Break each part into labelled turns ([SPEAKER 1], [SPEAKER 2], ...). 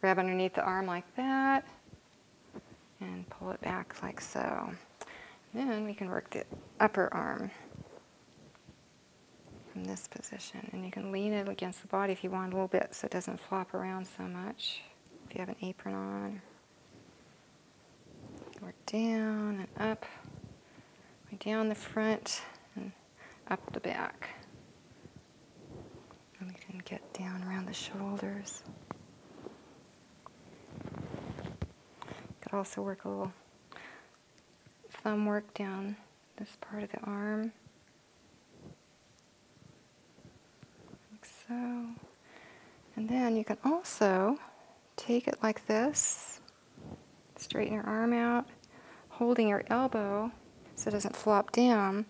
[SPEAKER 1] Grab underneath the arm like that and pull it back like so. then we can work the upper arm from this position. And you can lean it against the body if you want a little bit so it doesn't flop around so much. If you have an apron on, work down and up, down the front and up the back. And we can get down around the shoulders. Could also work a little thumb work down this part of the arm. Like so. And then you can also take it like this, straighten your arm out, holding your elbow so it doesn't flop down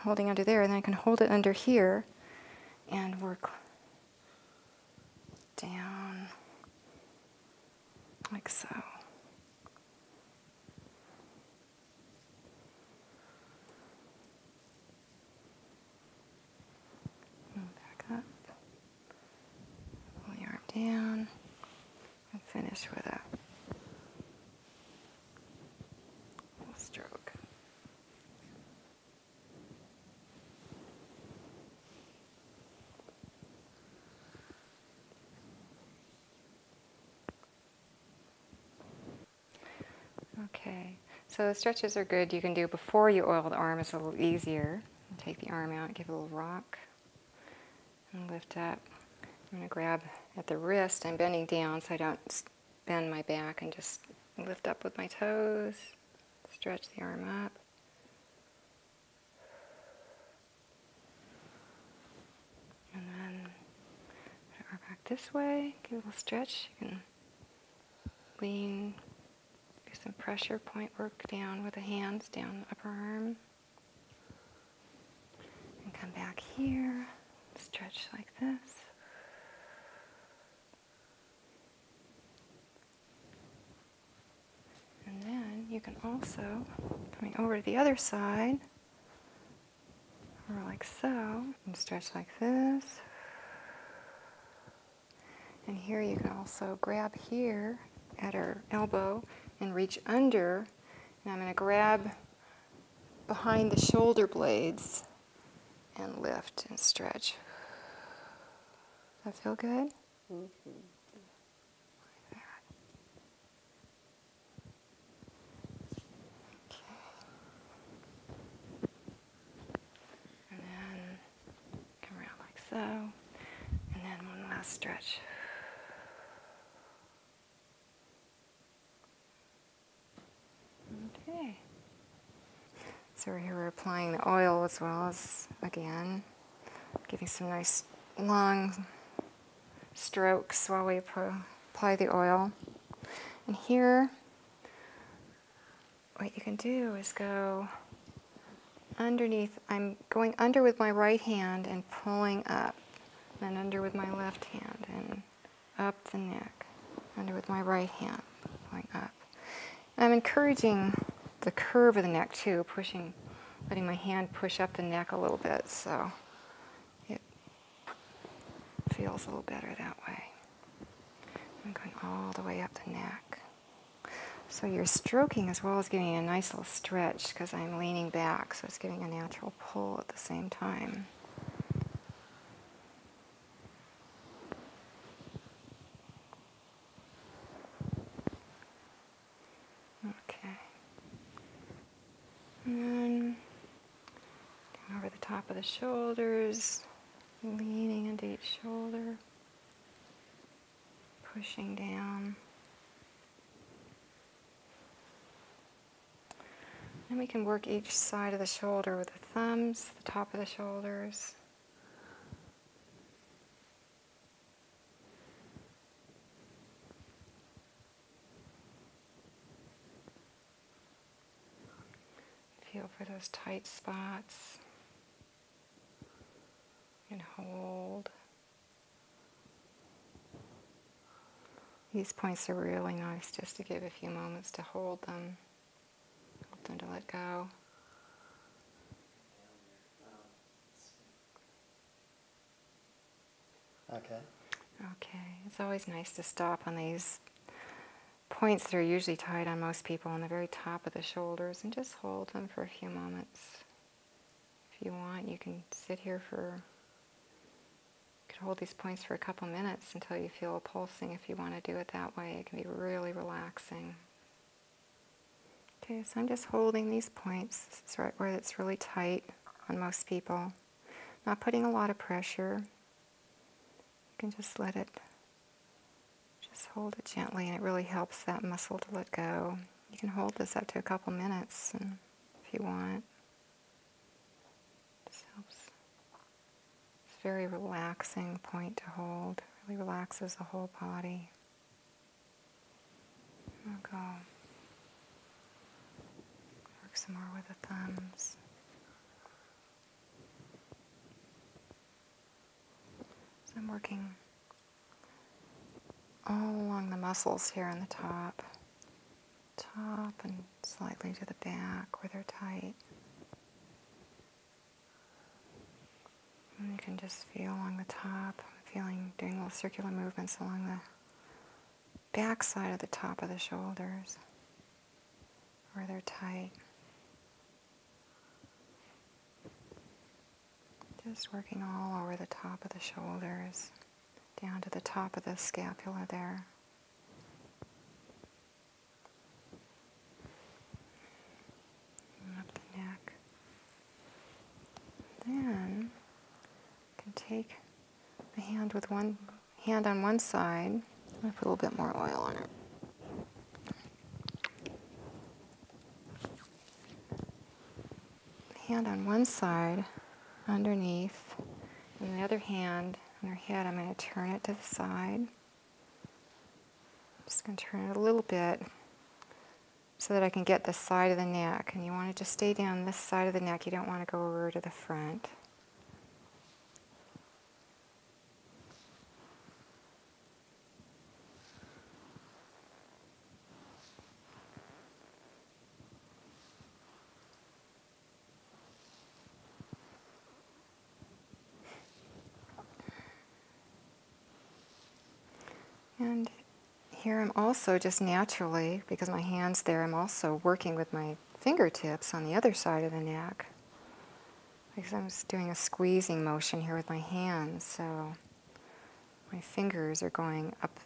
[SPEAKER 1] holding under there, then I can hold it under here and work down like so. back up, pull the arm down, and finish with a stroke. Okay, so the stretches are good. You can do before you oil the arm, it's a little easier. Take the arm out, give a little rock, and lift up. I'm going to grab at the wrist. I'm bending down so I don't bend my back and just lift up with my toes, stretch the arm up. And then put back this way, give a little stretch. You can lean, do some pressure point work down with the hands down upper arm. And come back here, stretch like this. And then you can also, coming over to the other side, or like so, and stretch like this. And here you can also grab here at our elbow and reach under. And I'm going to grab behind the shoulder blades and lift and stretch. That feel good? Okay. And then come around like so. And then one last stretch. Okay. So here we're applying the oil as well as, again, giving some nice long strokes while we apply the oil. And here, what you can do is go underneath. I'm going under with my right hand and pulling up, and then under with my left hand and up the neck and with my right hand going up. And I'm encouraging the curve of the neck too, pushing, letting my hand push up the neck a little bit so it feels a little better that way. I'm going all the way up the neck. So you're stroking as well as giving a nice little stretch because I'm leaning back, so it's giving a natural pull at the same time. Okay. And over the top of the shoulders, leaning into each shoulder, pushing down. And we can work each side of the shoulder with the thumbs, the top of the shoulders. Feel for those tight spots and hold. These points are really nice just to give a few moments to hold them, hold them to let go. Okay. Okay. It's always nice to stop on these points that are usually tied on most people on the very top of the shoulders and just hold them for a few moments. If you want, you can sit here for you could hold these points for a couple minutes until you feel a pulsing if you want to do it that way. It can be really relaxing. Okay, so I'm just holding these points. It's right where it's really tight on most people. Not putting a lot of pressure. You can just let it, just hold it gently, and it really helps that muscle to let go. You can hold this up to a couple minutes if you want. This helps. It's a very relaxing point to hold. really relaxes the whole body. We'll go. Work some more with the thumbs. So I'm working all along the muscles here on the top top and slightly to the back where they're tight. And you can just feel along the top, I'm feeling doing little circular movements along the back side of the top of the shoulders where they're tight. Just working all over the top of the shoulders, down to the top of the scapula there up the neck. Then can take the hand with one hand on one side. i put a little bit more oil on it. Hand on one side, underneath. And the other hand on her head, I'm going to turn it to the side. I'm just going to turn it a little bit so that I can get the side of the neck. And you want to just stay down this side of the neck. You don't want to go over to the front. And here I'm also just naturally, because my hand's there, I'm also working with my fingertips on the other side of the neck. Because I'm just doing a squeezing motion here with my hands, so my fingers are going up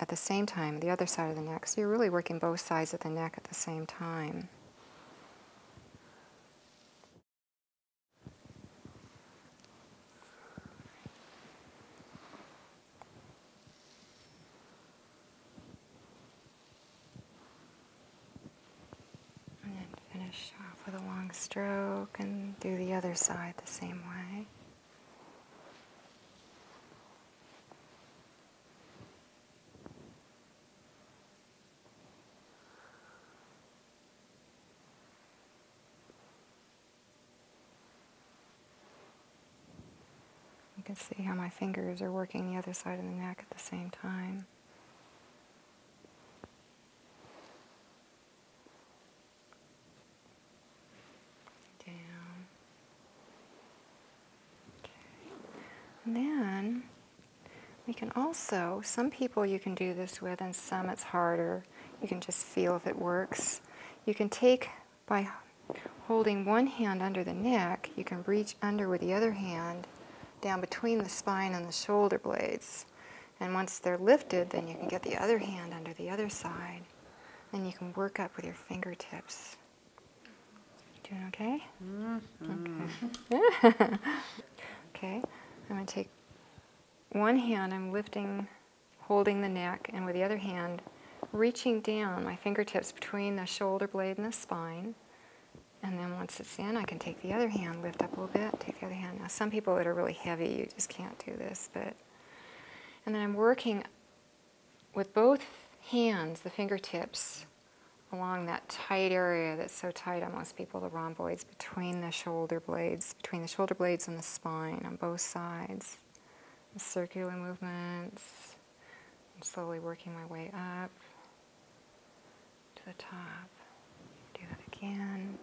[SPEAKER 1] at the same time, the other side of the neck. So you're really working both sides of the neck at the same time. And then finish off with a long stroke and do the other side the same way. You can see how my fingers are working the other side of the neck at the same time. Down and then we can also, some people you can do this with and some it's harder. You can just feel if it works. You can take by holding one hand under the neck, you can reach under with the other hand down between the spine and the shoulder blades. And once they're lifted, then you can get the other hand under the other side. and you can work up with your fingertips. Doing okay? Mm-hmm. Okay. okay. I'm going to take one hand, I'm lifting, holding the neck, and with the other hand, reaching down my fingertips between the shoulder blade and the spine. And then once it's in, I can take the other hand, lift up a little bit, take the other hand. Now, some people that are really heavy, you just can't do this, but. And then I'm working with both hands, the fingertips, along that tight area that's so tight on most people, the rhomboids between the shoulder blades, between the shoulder blades and the spine on both sides. circular movements. slowly working my way up to the top. Do that again.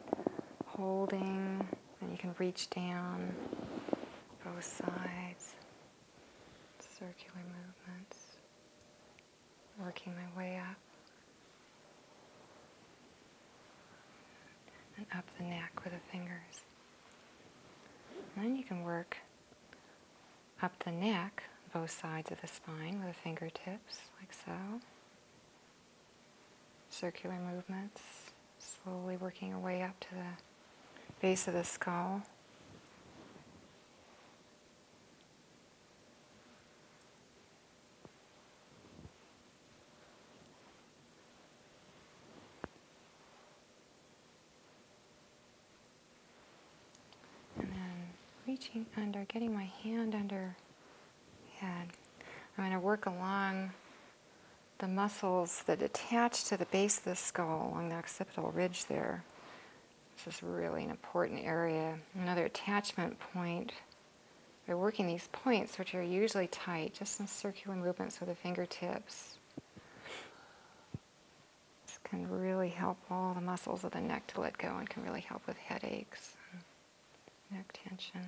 [SPEAKER 1] Holding. Then you can reach down both sides circular movements, working my way up and up the neck with the fingers. And then you can work up the neck, both sides of the spine with the fingertips, like so. Circular movements, slowly working your way up to the base of the skull. And then reaching under, getting my hand under the I'm going to work along the muscles that attach to the base of the skull along the occipital ridge there. This is really an important area. Another attachment point. By working these points, which are usually tight, just some circular movements with the fingertips. This can really help all the muscles of the neck to let go and can really help with headaches, neck tension.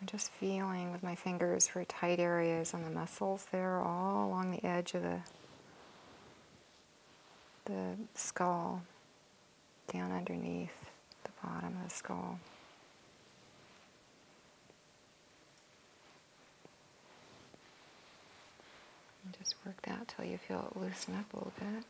[SPEAKER 1] I'm just feeling with my fingers for tight areas on the muscles there, all along the edge of the the skull down underneath the bottom of the skull. And just work that till you feel it loosen up a little bit.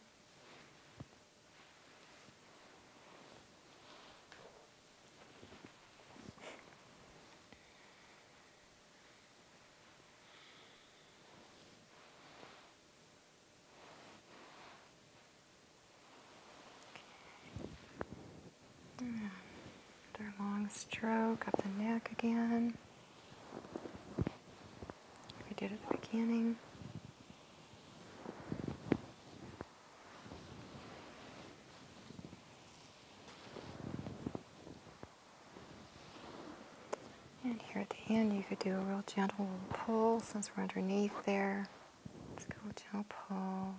[SPEAKER 1] Another long stroke up the neck again. We did at the beginning. And here at the end, you could do a real gentle pull since we're underneath there. Let's go gentle pull.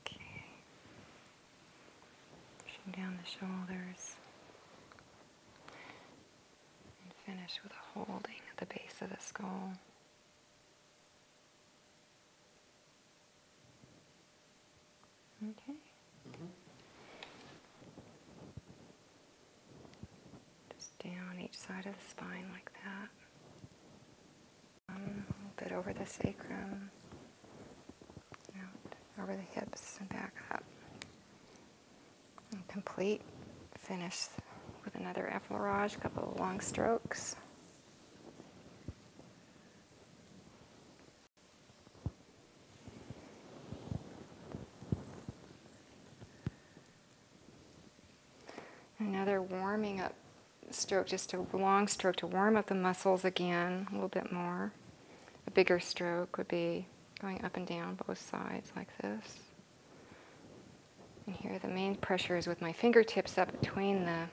[SPEAKER 1] Okay. Pushing down the shoulders. And finish with a holding at the base of the skull. Okay. Just down each side of the spine like that. Um, a little bit over the sacrum, over the hips, and back up complete. Finish with another effleurage, a couple of long strokes. Another warming up stroke, just a long stroke to warm up the muscles again, a little bit more. A bigger stroke would be going up and down both sides like this. And here the main pressure is with my fingertips up between the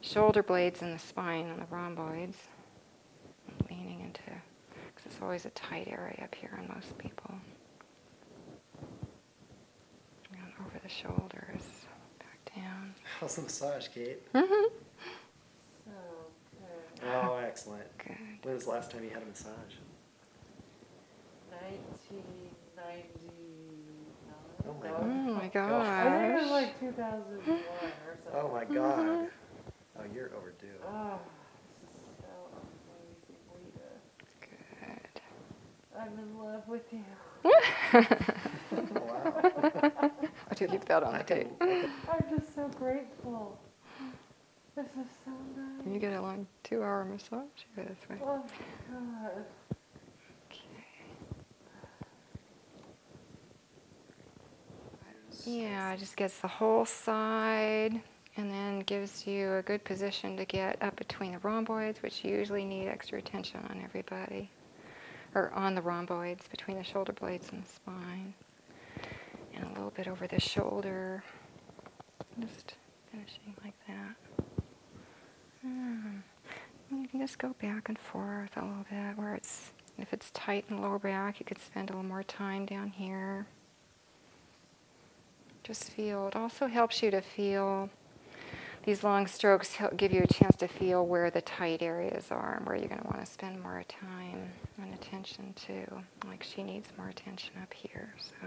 [SPEAKER 1] shoulder blades and the spine and the rhomboids. leaning into, because it's always a tight area up here on most people. over the shoulders, back down. How's the massage, Kate? Mm-hmm. Oh, oh, excellent. Good. When was the last time you had a massage? 1999. Oh my, oh oh no, oh my god. Oh my god. Oh, you're overdue. Oh, Good. I'm in love with you. I do leave that on the tape. I'm just so grateful. Can you get a long two hour massage? You go this way. Yeah, God. just gets the whole side and then gives you a good position to get up between the rhomboids, which usually need extra attention on everybody, or on the rhomboids, between the shoulder blades and the spine, and a little bit over the shoulder. Just finishing like like hmm. You can just go back and forth a little bit where it's, if it's tight in the lower back, you could spend a little more time down here. Just feel, it also helps you to feel, these long strokes give you a chance to feel where the tight areas are and where you're going to want to spend more time and attention to. Like she needs more attention up here, so.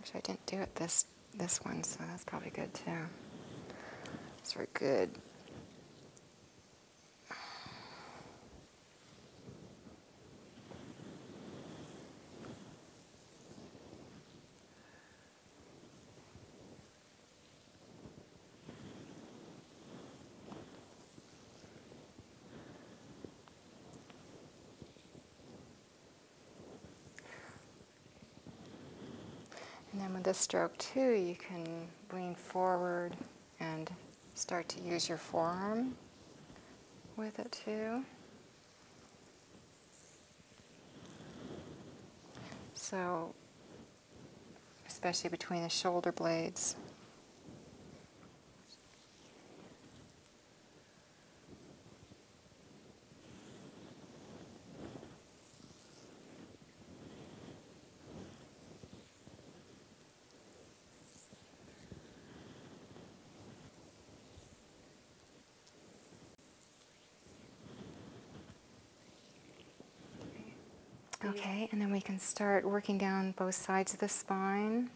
[SPEAKER 1] Actually, I didn't do it this this one, so that's probably good too. It's very good. And then with this stroke too, you can lean forward and start to use your forearm with it too. So, especially between the shoulder blades. Okay, and then we can start working down both sides of the spine.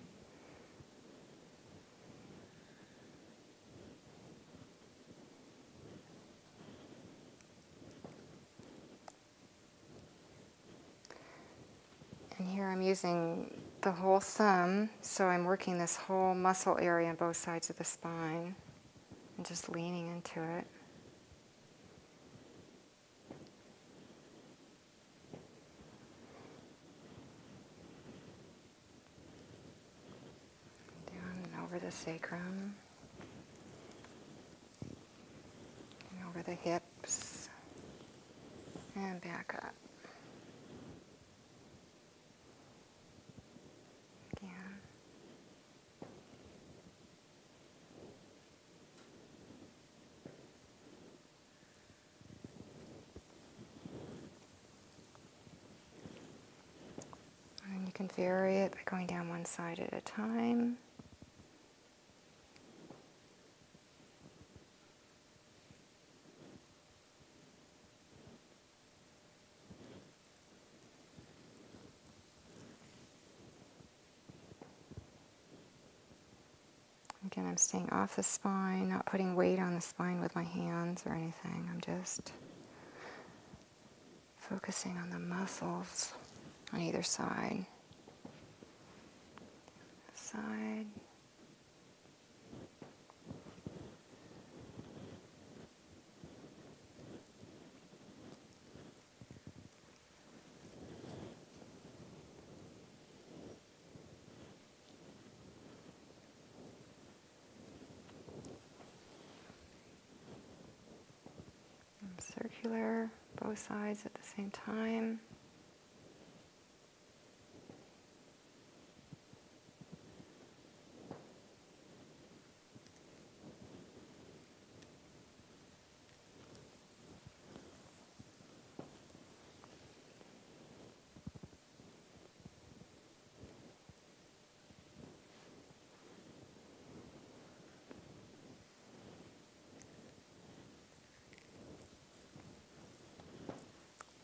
[SPEAKER 1] And here I'm using the whole thumb so I'm working this whole muscle area on both sides of the spine and just leaning into it. Down and over the sacrum. And over the hips. And back up. And you can vary it by going down one side at a time. Again, I'm staying off the spine, not putting weight on the spine with my hands or anything. I'm just focusing on the muscles on either side. Side. And circular, both sides at the same time.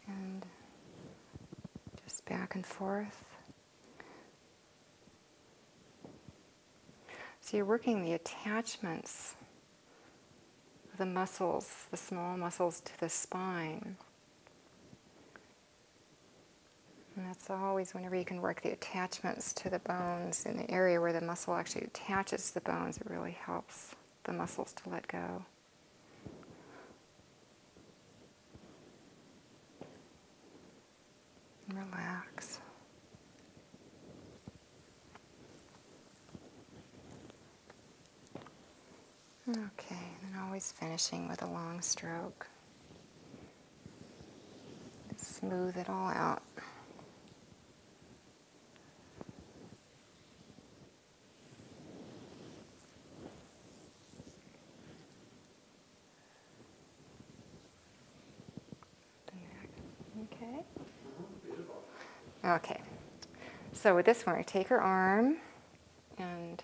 [SPEAKER 1] And just back and forth. So you're working the attachments the muscles, the small muscles to the spine. And that's always whenever you can work the attachments to the bones in the area where the muscle actually attaches to the bones, it really helps the muscles to let go. Relax. Okay, and always finishing with a long stroke. Smooth it all out. Okay. Okay. So with this one, I take her arm and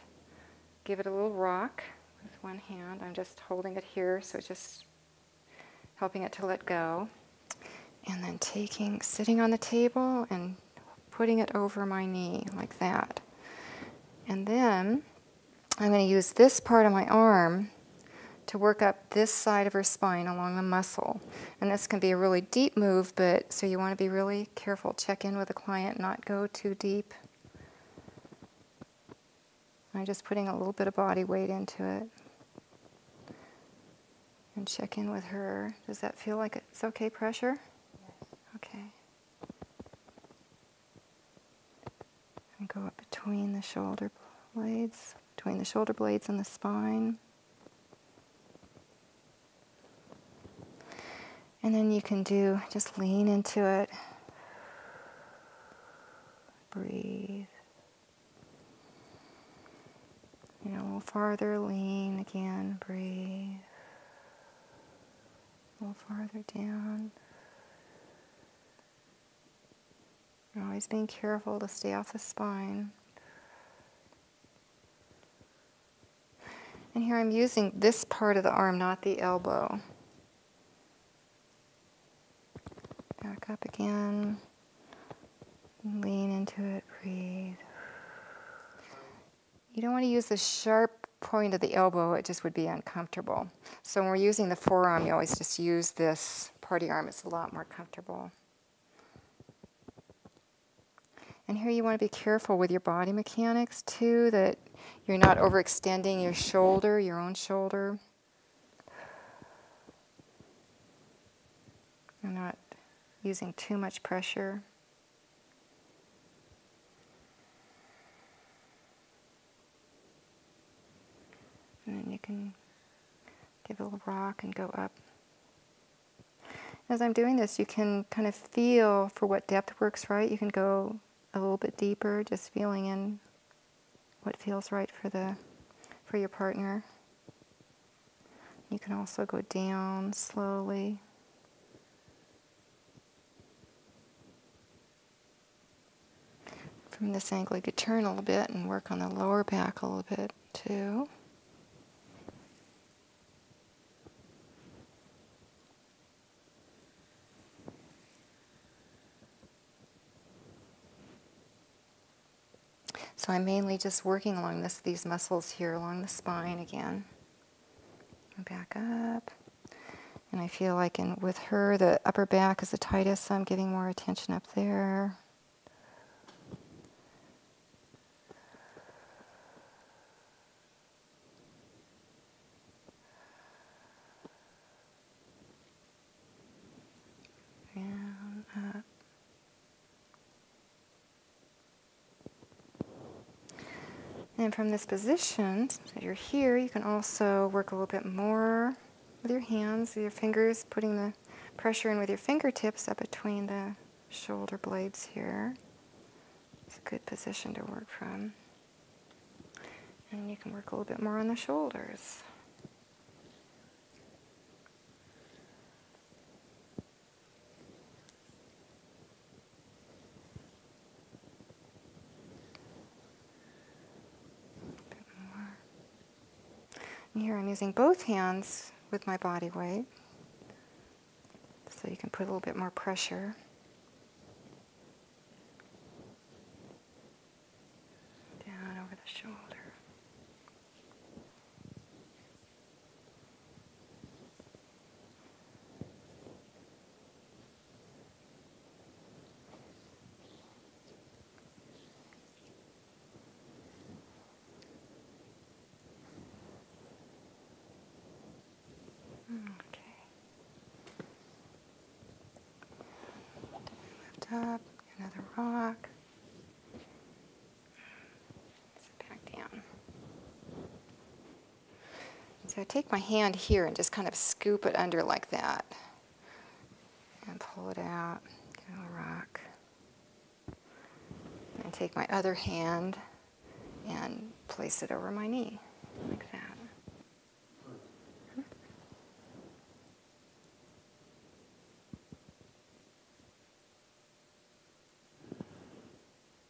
[SPEAKER 1] give it a little rock with one hand. I'm just holding it here, so just helping it to let go. And then taking, sitting on the table and putting it over my knee like that. And then I'm going to use this part of my arm to work up this side of her spine along the muscle. And this can be a really deep move, but so you want to be really careful. Check in with the client, not go too deep. I'm just putting a little bit of body weight into it. And check in with her. Does that feel like it's okay pressure? Okay and go up between the shoulder blades, between the shoulder blades and the spine. And then you can do, just lean into it. Breathe. You know, a little farther, lean again, breathe a little farther down. always being careful to stay off the spine. And here I'm using this part of the arm, not the elbow. Back up again. Lean into it, breathe. You don't want to use the sharp point of the elbow, it just would be uncomfortable. So when we're using the forearm, you always just use this party arm. It's a lot more comfortable. And here you want to be careful with your body mechanics too, that you're not overextending your shoulder, your own shoulder. You're not using too much pressure. And then you can give a little rock and go up. As I'm doing this, you can kind of feel for what depth works right. You can go a little bit deeper, just feeling in what feels right for the for your partner. You can also go down slowly. From this angle, you could turn a little bit and work on the lower back a little bit too. So I'm mainly just working along this, these muscles here along the spine again. Back up. And I feel like in, with her, the upper back is the tightest, so I'm giving more attention up there. Down, up. And from this position that you're here, you can also work a little bit more with your hands, with your fingers, putting the pressure in with your fingertips up between the shoulder blades here. It's a good position to work from. And you can work a little bit more on the shoulders here I'm using both hands with my body weight, so you can put a little bit more pressure. Down over the shoulder. Okay. Lift up another rock. back down. So I take my hand here and just kind of scoop it under like that and pull it out, rock. And take my other hand and place it over my knee like that.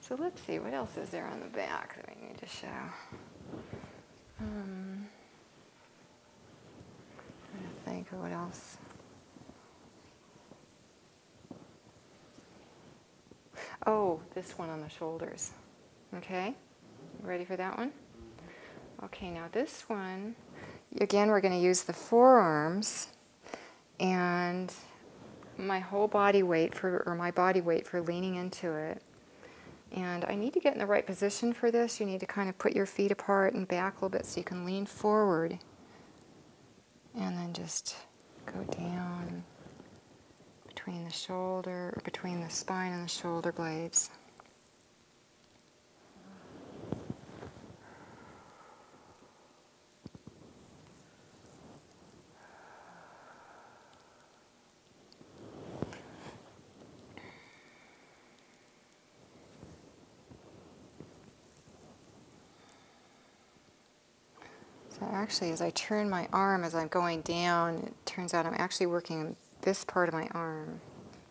[SPEAKER 1] So let's see, what else is there on the back that we need to show? Um, think of what else. Oh, this one on the shoulders. Okay, ready for that one? Okay, now this one, again, we're going to use the forearms and my whole body weight for, or my body weight for leaning into it. And I need to get in the right position for this. You need to kind of put your feet apart and back a little bit so you can lean forward. And then just go down between the shoulder, between the spine and the shoulder blades. So actually, as I turn my arm as I'm going down, it turns out I'm actually working this part of my arm,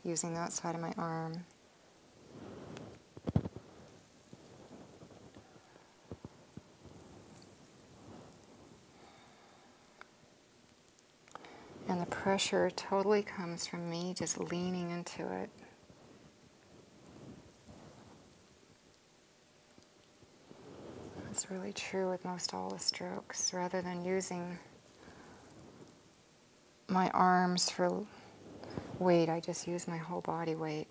[SPEAKER 1] using that side of my arm. And the pressure totally comes from me just leaning into it. That's really true with most all the strokes. Rather than using my arms for weight, I just use my whole body weight.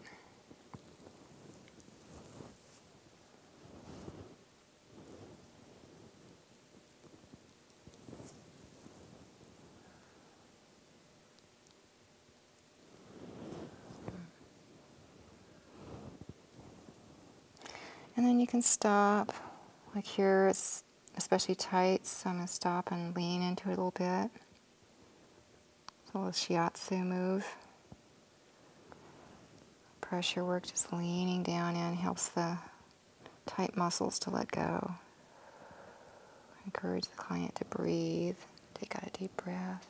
[SPEAKER 1] And then you can stop, like here it's especially tight, so I'm going to stop and lean into it a little bit. It's a little shiatsu move. Pressure work, just leaning down in, helps the tight muscles to let go. Encourage the client to breathe. Take out a deep breath.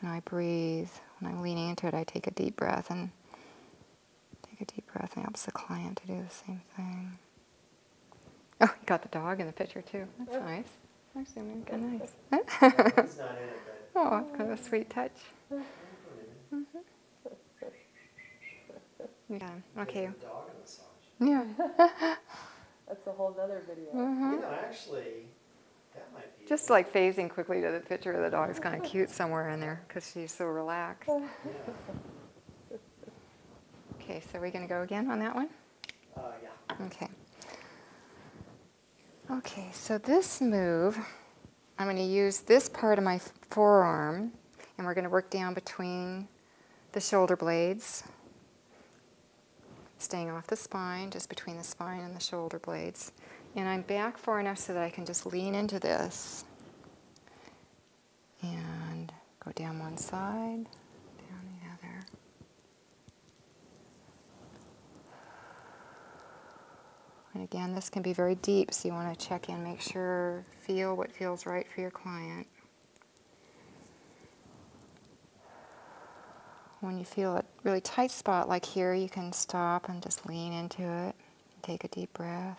[SPEAKER 1] When I breathe, when I'm leaning into it, I take a deep breath and take a deep breath and helps the client to do the same thing. Oh, you got the dog in the picture too. That's nice. Actually, make it nice. He's not in it, Oh, kind of a sweet touch. Mm-hmm. Yeah. Okay. Yeah. That's a whole other video. Mm-hmm. You know, actually, that might be. Just like phasing quickly to the picture of the dog is kind of cute somewhere in there because she's so relaxed. Okay, so we're going to go again on that one? Uh, okay. Okay, so this move, I'm going to use this part of my forearm, and we're going to work down between the shoulder blades, staying off the spine, just between the spine and the shoulder blades. And I'm back far enough so that I can just lean into this and go down one side, down the other. And again, this can be very deep, so you want to check in, make sure, feel what feels right for your client. When you feel a really tight spot like here, you can stop and just lean into it. Take a deep breath.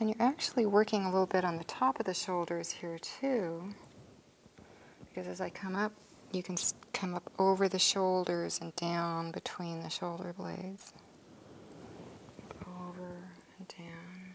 [SPEAKER 1] And you're actually working a little bit on the top of the shoulders here too, because as I come up, you can come up over the shoulders and down between the shoulder blades. Over and down.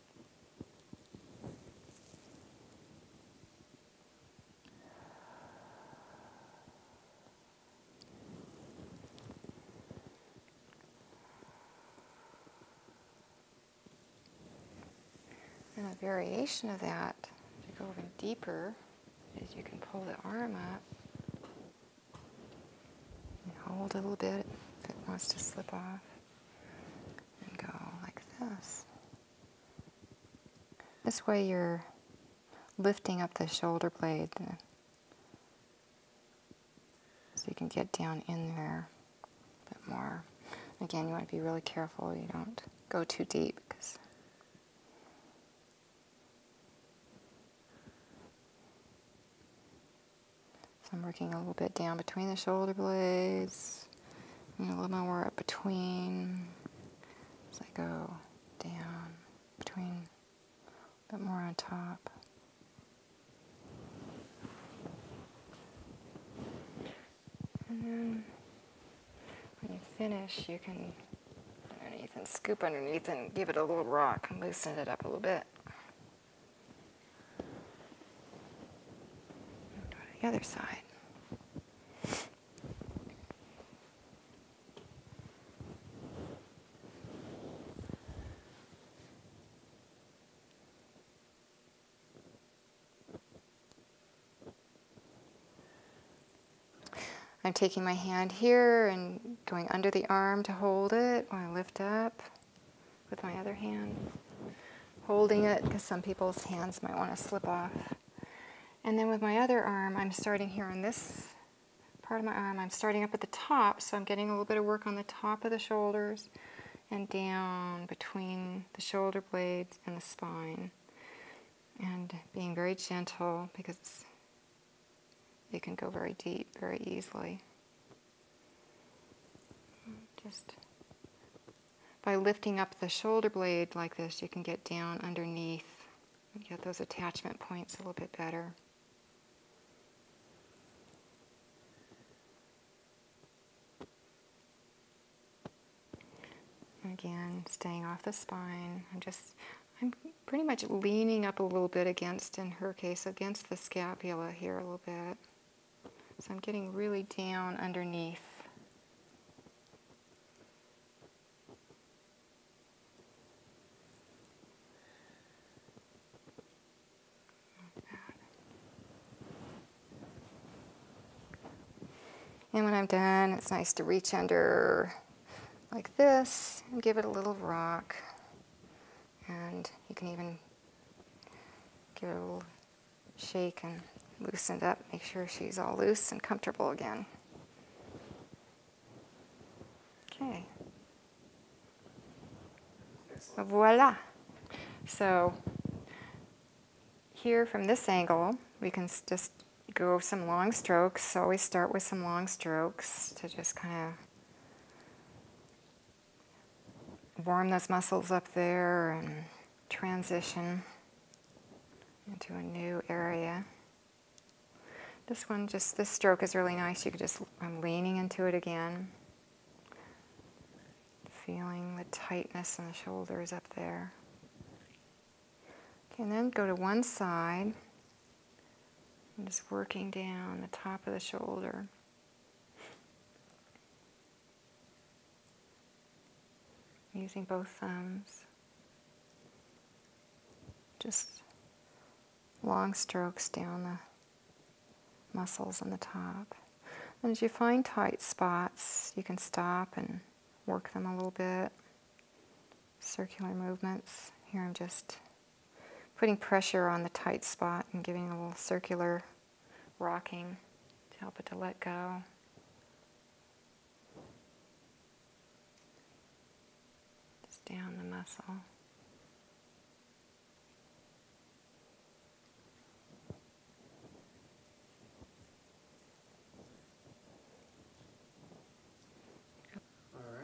[SPEAKER 1] And a variation of that, to go even deeper, is you can pull the arm up and hold a little bit if it wants to slip off and go like this. This way you're lifting up the shoulder blade uh, so you can get down in there a bit more. Again, you want to be really careful you don't go too deep because so I'm working a little bit down between the shoulder blades a little more up between, as I go down, between, a bit more on top. And then when you finish, you can underneath and scoop underneath and give it a little rock and loosen it up a little bit the other side. I'm taking my hand here and going under the arm to hold it when I lift up with my other hand holding it because some people's hands might want to slip off. And then with my other arm, I'm starting here on this part of my arm. I'm starting up at the top, so I'm getting a little bit of work on the top of the shoulders and down between the shoulder blades and the spine. And being very gentle because it can go very deep very easily. Just by lifting up the shoulder blade like this, you can get down underneath get those attachment points a little bit better. Again, staying off the spine. I'm just, I'm pretty much leaning up a little bit against, in her case, against the scapula here a little bit. So I'm getting really down underneath. And when I'm done, it's nice to reach under like this and give it a little rock. And you can even give it a little Shake and loosen up, make sure she's all loose and comfortable again. Okay. Voila. So here from this angle, we can just go some long strokes. Always start with some long strokes to just kind of warm those muscles up there and transition into a new area. This one, just this stroke is really nice. You could just, I'm leaning into it again. Feeling the tightness in the shoulders up there. Okay, and then go to one side. just working down the top of the shoulder. Using both thumbs. Just long strokes down the muscles on the top. And as you find tight spots, you can stop and work them a little bit. Circular movements. Here I'm just putting pressure on the tight spot and giving a little circular rocking to help it to let go. Just down the muscle. All right.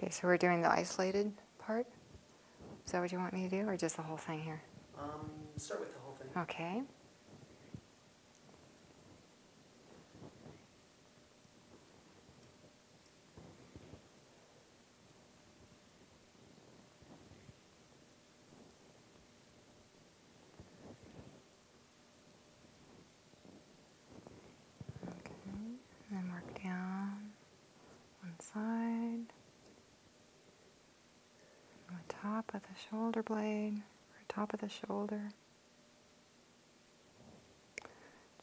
[SPEAKER 1] Okay, so we're doing the isolated part? Is that what you want me to do, or just the whole thing here? Um, start with the whole thing. Okay. Okay, and then work down one side from the top of the shoulder blade, or top of the shoulder.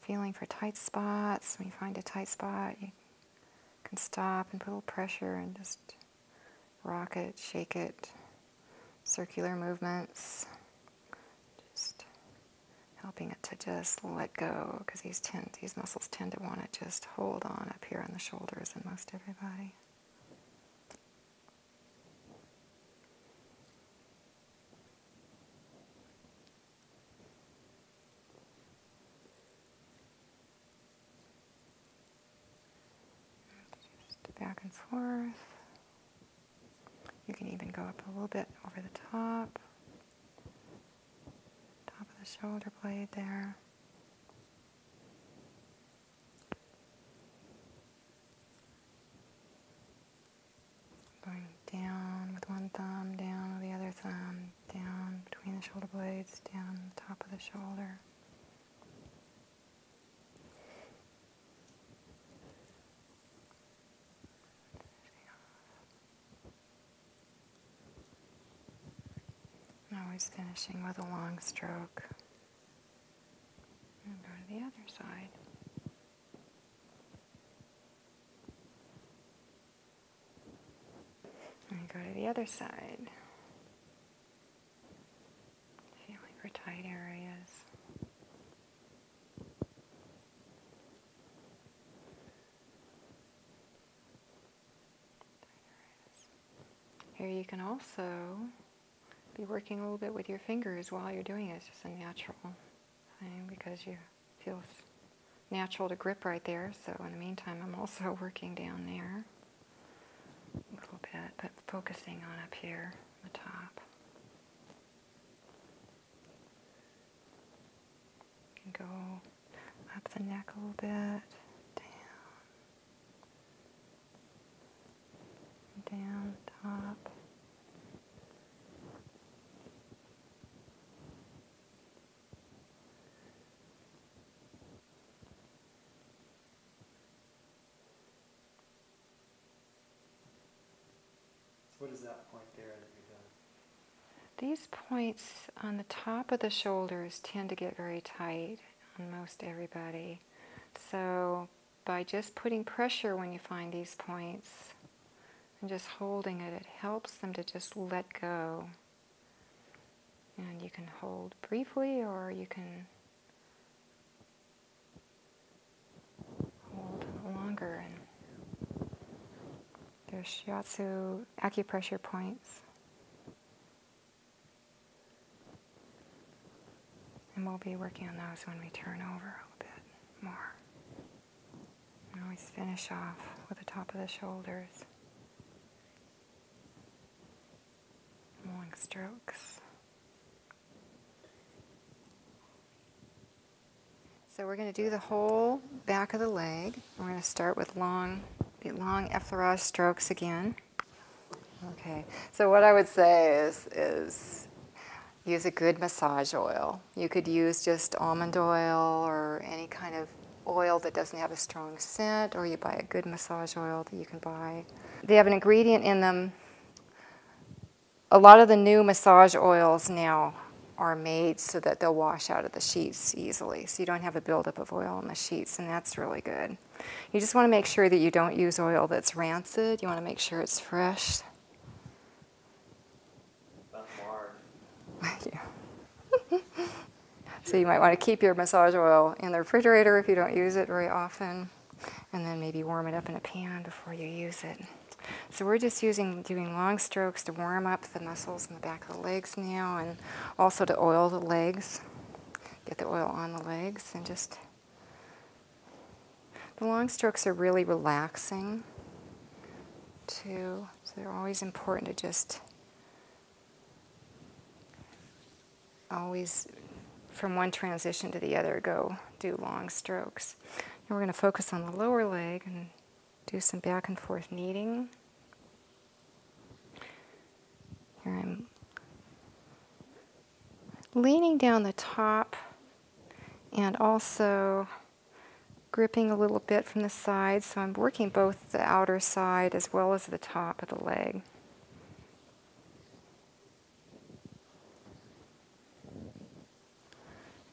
[SPEAKER 1] Feeling for tight spots. When you find a tight spot, you can stop and put a little pressure and just rock it, shake it. Circular movements. Just helping it to just let go because these, tend, these muscles tend to want to just hold on up here on the shoulders in most everybody. Just back and forth. You can even go up a little bit over the top, top of the shoulder blade there. Going down with one thumb, down with the other thumb, down between the shoulder blades, down the top of the shoulder. always finishing with a long stroke go to the other side. go to the other side. Feeling for tight areas. Here you can also be working a little bit with your fingers while you're doing it. It's just a natural thing because you feel natural to grip right there. So in the meantime, I'm also working down there a little bit, but focusing on up here, the top. And go up the neck a little bit, down down top. What is that point there These points on the top of the shoulders tend to get very tight on most everybody. So by just putting pressure when you find these points and just holding it. It helps them to just let go. And you can hold briefly or you can hold longer. And there's shiatsu acupressure points. And we'll be working on those when we turn over a little bit more. And always finish off with the top of the shoulders. Long strokes. So we're going to do the whole back of the leg. We're going to start with long, the long effleurage strokes again. Okay, so what I would say is, use a good massage oil. You could use just almond oil or any kind of oil that doesn't have a strong scent, or you buy a good massage oil that you can buy. They have an ingredient in them. A lot of the new massage oils now are made so that they'll wash out of the sheets easily, so you don't have a buildup of oil on the sheets, and that's really good. You just want to make sure that you don't use oil that's rancid. You want to make sure it's fresh. Thank you. so you might want to keep your massage oil in the refrigerator if you don't use it very often. And then maybe warm it up in a pan before you use it. So we're just using, doing long strokes to warm up the muscles in the back of the legs now and also to oil the legs, get the oil on the legs and just the long strokes are really relaxing too, so they're always important to just always from one transition to the other go do long strokes. we're going to focus on the lower leg and do some back and forth kneading. Here I'm leaning down the top and also gripping a little bit from the side. So I'm working both the outer side as well as the top of the leg.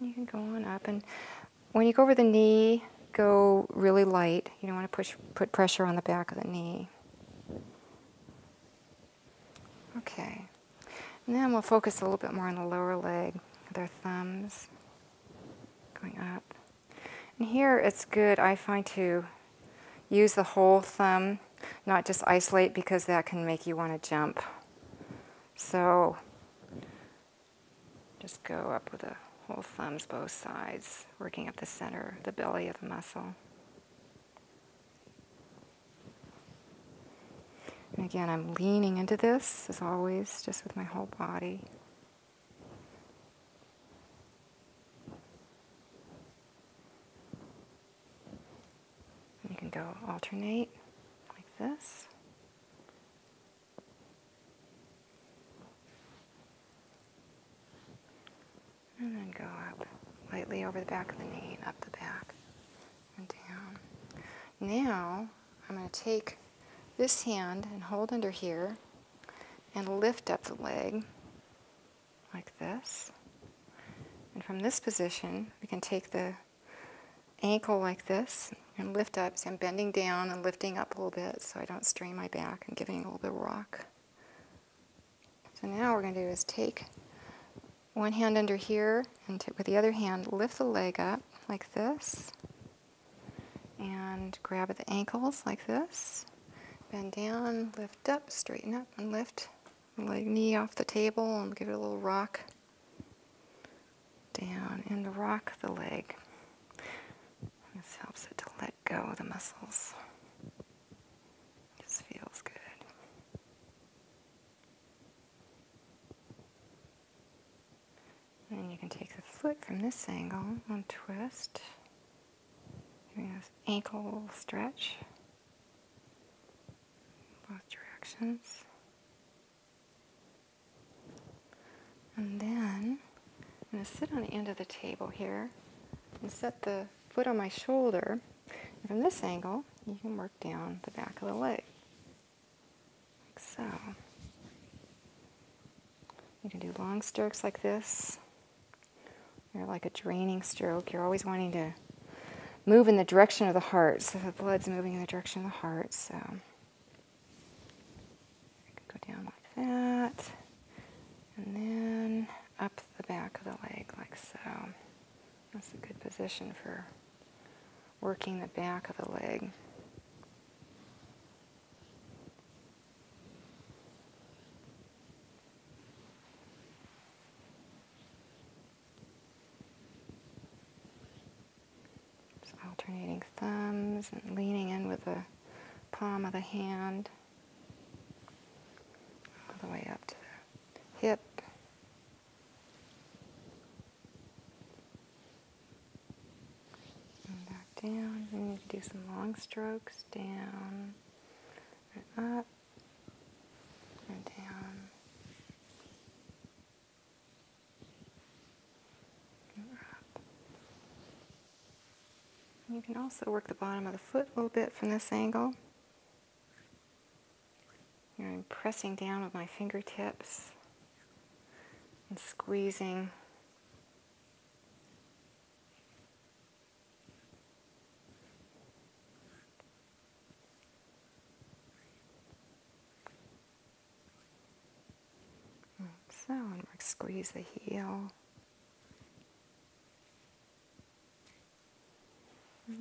[SPEAKER 1] You can go on up and when you go over the knee, go really light. You don't want to push, put pressure on the back of the knee. Okay. then we'll focus a little bit more on the lower leg, their thumbs going up. And here it's good, I find, to use the whole thumb, not just isolate because that can make you want to jump. So just go up with the whole thumbs, both sides, working at the center, the belly of the muscle. And again, I'm leaning into this, as always, just with my whole body. you can go alternate like this. And then go up, lightly over the back of the knee, up the back, and down. Now, I'm going to take this hand and hold under here and lift up the leg like this. And from this position, we can take the ankle like this and lift up. So I'm bending down and lifting up a little bit so I don't strain my back and giving a little bit of rock. So now what we're going to do is take one hand under here and with the other hand lift the leg up like this and grab at the ankles like this. Bend down, lift up, straighten up and lift leg knee off the table and give it a little rock down and rock the leg. This helps it to let go of the muscles. This feels good. And you can take the foot from this angle, and twist, doing this ankle stretch, both directions. And then I'm going to sit on the end of the table here and set the foot on my shoulder from this angle, you can work down the back of the leg, like so. You can do long strokes like this. You're like a draining stroke. You're always wanting to move in the direction of the heart, so the blood's moving in the direction of the heart. So I can go down like that, and then up the back of the leg like so. That's a good position for working the back of the leg. So alternating thumbs and leaning in with the palm of the hand all the way up to the hip, back down. you can do some long strokes down and up and down and up. you can also work the bottom of the foot a little bit from this angle. I'm pressing down with my fingertips and squeezing. So I'm going squeeze the heel.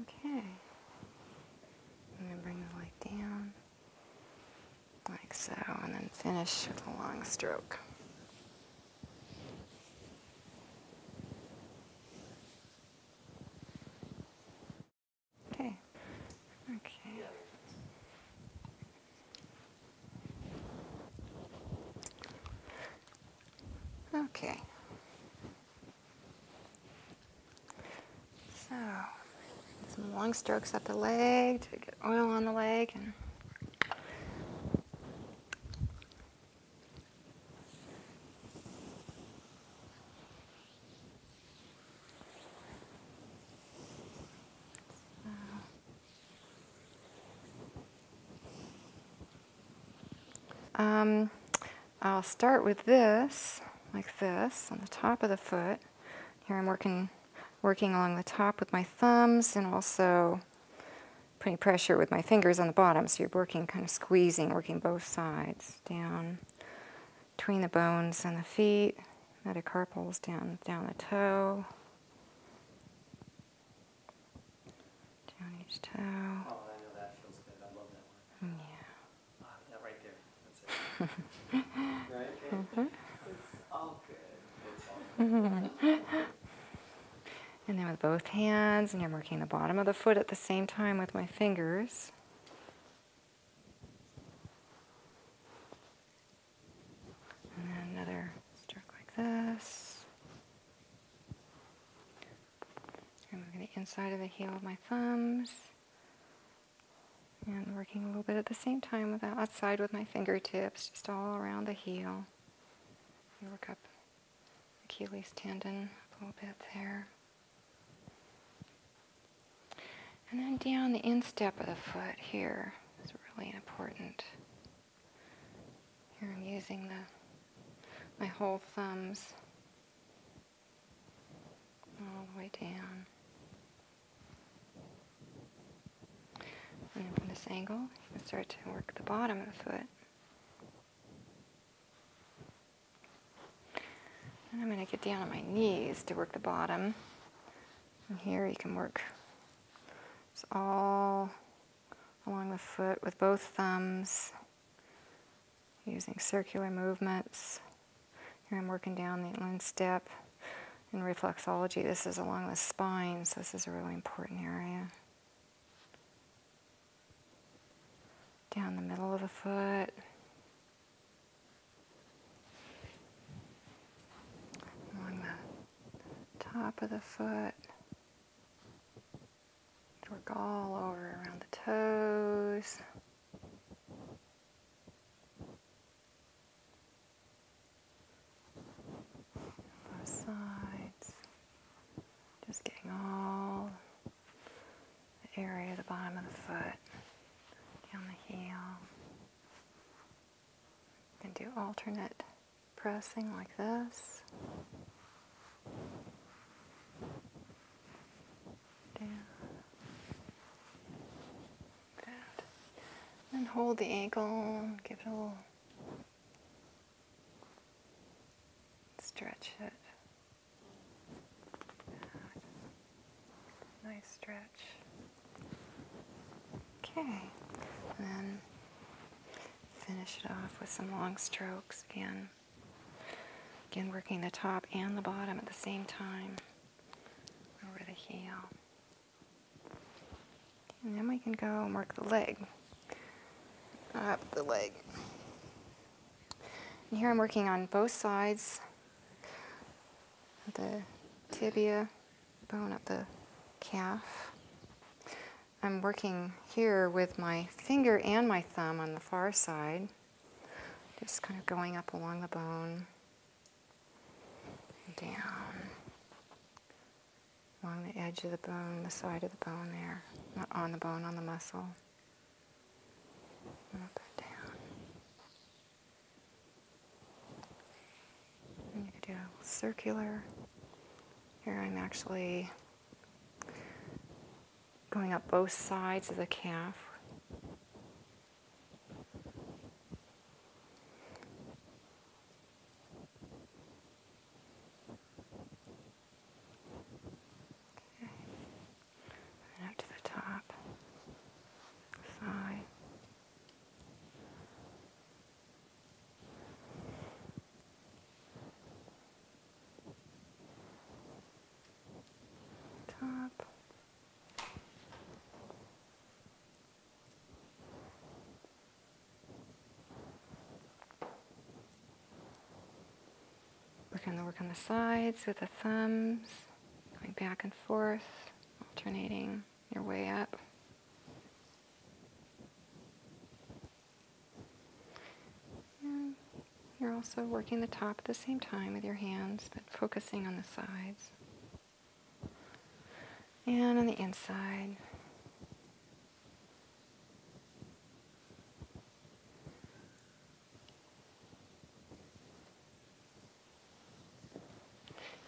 [SPEAKER 1] Okay. I'm going to bring the light down, like so, and then finish with a long stroke. Okay. Okay. Okay. So, some long strokes up the leg to get oil on the leg. And um, I'll start with this, like this, on the top of the foot. Here I'm working, working along the top with my thumbs and also putting pressure with my fingers on the bottom. So you're working, kind of squeezing, working both sides down between the bones and the feet, metacarpals down, down the toe, down each toe. Oh, yeah. Mm-hmm. And then with both hands, and I'm working the bottom of the foot at the same time with my fingers. And then another stroke like this. I'm the inside of the heel of my thumbs and working a little bit at the same time with the outside with my fingertips, just all around the heel. You work up Achilles tendon a little bit there. And then down the instep of the foot here is really important. Here I'm using the my whole thumbs all the way down. And from this angle, you can start to work the bottom of the foot. And I'm going to get down on my knees to work the bottom. And here you can work all along the foot with both thumbs using circular movements. Here I'm working down the instep. In reflexology, this is along the spine, so this is a really important area. Down the middle of the foot. Along the top of the foot. Work all over around the toes. Both sides. Just getting all the area of the bottom of the foot, down the heel. You do alternate pressing like this. Down. Good. And hold the ankle, give it a little stretch it. Nice stretch. Okay. And then finish it off with some long strokes again. Again, working the top and the bottom at the same time over the heel. And then we can go and work the leg, up the leg. here I'm working on both sides, the tibia bone up the calf. I'm working here with my finger and my thumb on the far side. Just kind of going up along the bone, and down, along the edge of the bone, the side of the bone there, not on the bone, on the muscle. Up and down. And you could do a circular. Here I'm actually going up both sides of the calf. And up to the top, thigh. Work on the work on the sides with the thumbs, going back and forth, alternating your way up. And you're also working the top at the same time with your hands, but focusing on the sides. And on the inside.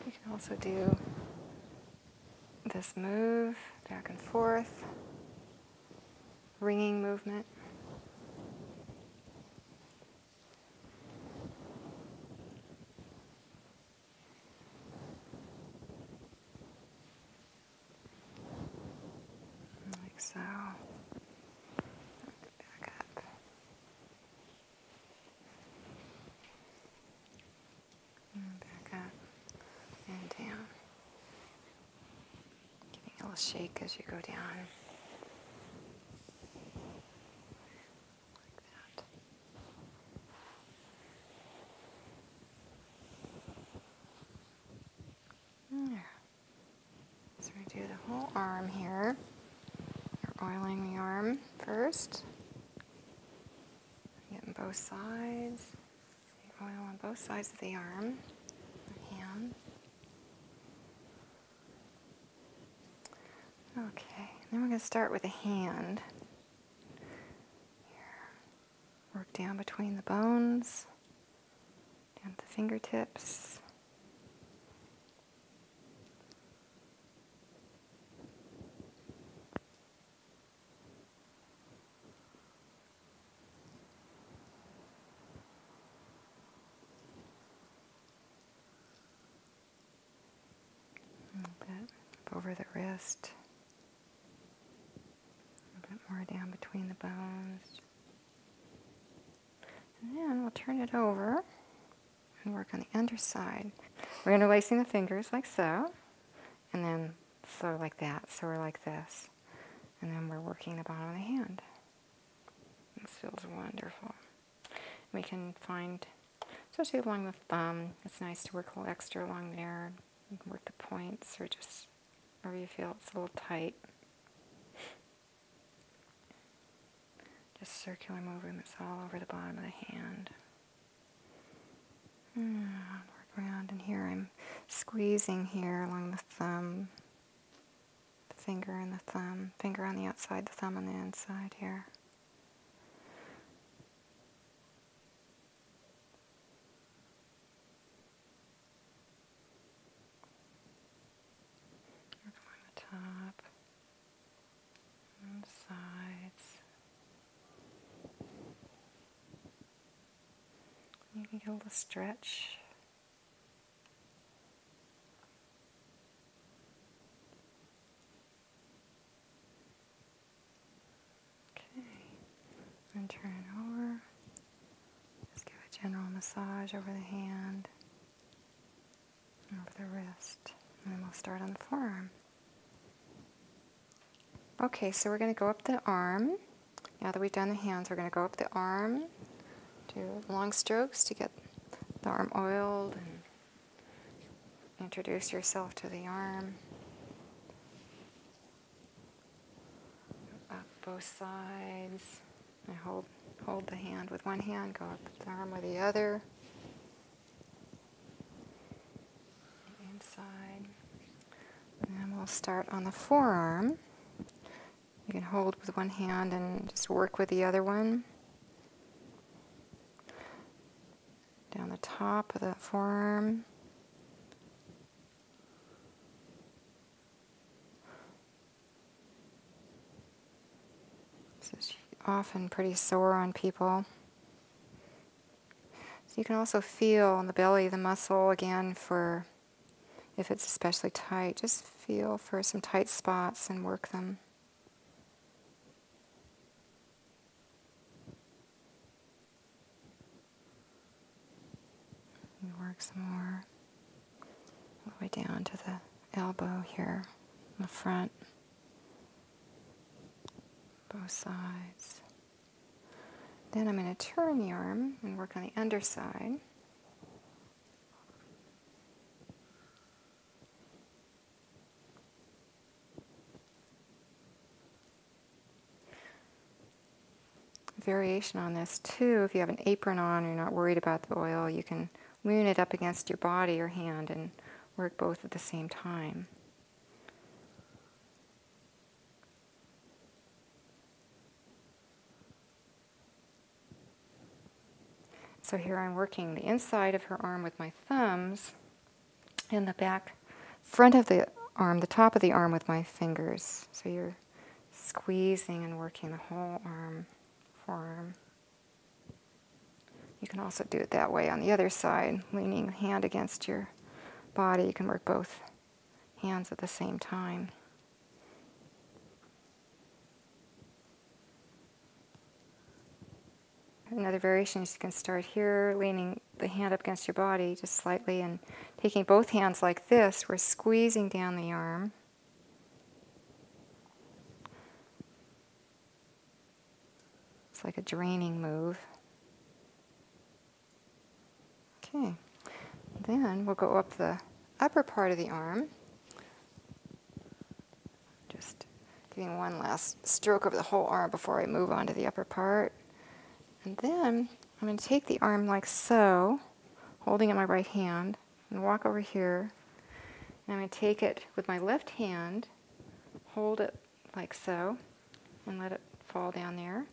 [SPEAKER 1] You can also do this move back and forth ringing movement. Like so. Back up. back up and down. Giving a little shake as you go down. Like that. There. Mm, so we the whole arm here. You're oiling the arm 1st getting both sides. oil on both sides of the arm, the hand. Okay, then we're going to start with a hand. Work down between the bones, down to the fingertips. A bit over the wrist. A bit more down between the bones. And then we'll turn it over and work on the underside. We're interlacing the fingers like so, and then so like that, so we're like this. And then we're working the bottom of the hand. This feels wonderful. We can find, especially along the thumb, it's nice to work a little extra along there. work the points or just wherever you feel it's a little tight. Just circular movements all over the bottom of the hand. Hmm, work around, and here I'm squeezing here along the thumb finger and the thumb, finger on the outside, the thumb on the inside here. along the top, and the sides. You can get a little stretch Okay, and turn it over. Just give a general massage over the hand, over the wrist, and then we'll start on the forearm. Okay, so we're going to go up the arm. Now that we've done the hands, we're going to go up the arm, do long strokes to get the arm oiled and mm-hmm. introduce yourself to the arm. Up both sides. And hold, hold the hand with one hand, go up the arm with the other. Inside. And we'll start on the forearm. You can hold with one hand and just work with the other one. Down the top of the forearm. This is often pretty sore on people. So you can also feel on the belly the muscle again for if it's especially tight, just feel for some tight spots and work them. work some more all the way down to the elbow here in the front, both sides. Then I'm going to turn the arm and work on the underside. Variation on this too, if you have an apron on and you're not worried about the oil, you can lean it up against your body or hand and work both at the same time. So here I'm working the inside of her arm with my thumbs and the back front of the arm, the top of the arm with my fingers. So you're squeezing and working the whole arm, forearm. You can also do it that way on the other side, leaning hand against your body. You can work both hands at the same time. Another variation is you can start here, leaning the hand up against your body just slightly and taking both hands like this, we're squeezing down the arm. It's like a draining move. Okay, then we'll go up the upper part of the arm. Just giving one last stroke over the whole arm before I move on to the upper part. And then I'm going to take the arm like so, holding in my right hand, and walk over here. And I'm going to take it with my left hand, hold it like so, and let it fall down there.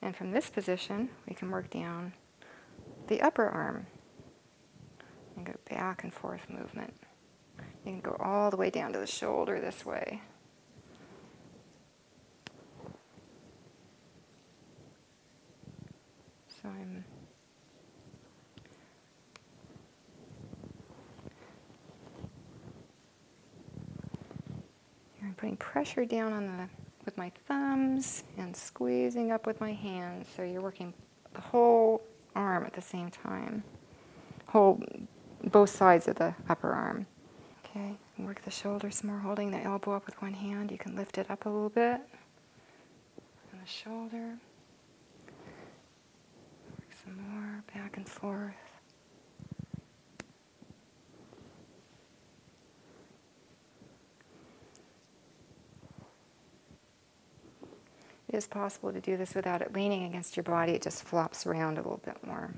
[SPEAKER 1] And from this position, we can work down the upper arm. And go back and forth movement. You can go all the way down to the shoulder this way. So I'm putting pressure down on the with my thumbs and squeezing up with my hands. So you're working the whole arm at the same time. Whole, both sides of the upper arm. Okay, work the shoulder some more, holding the elbow up with one hand. You can lift it up a little bit. And the shoulder. Work some more, back and forth. It is possible to do this without it leaning against your body. It just flops around a little bit more.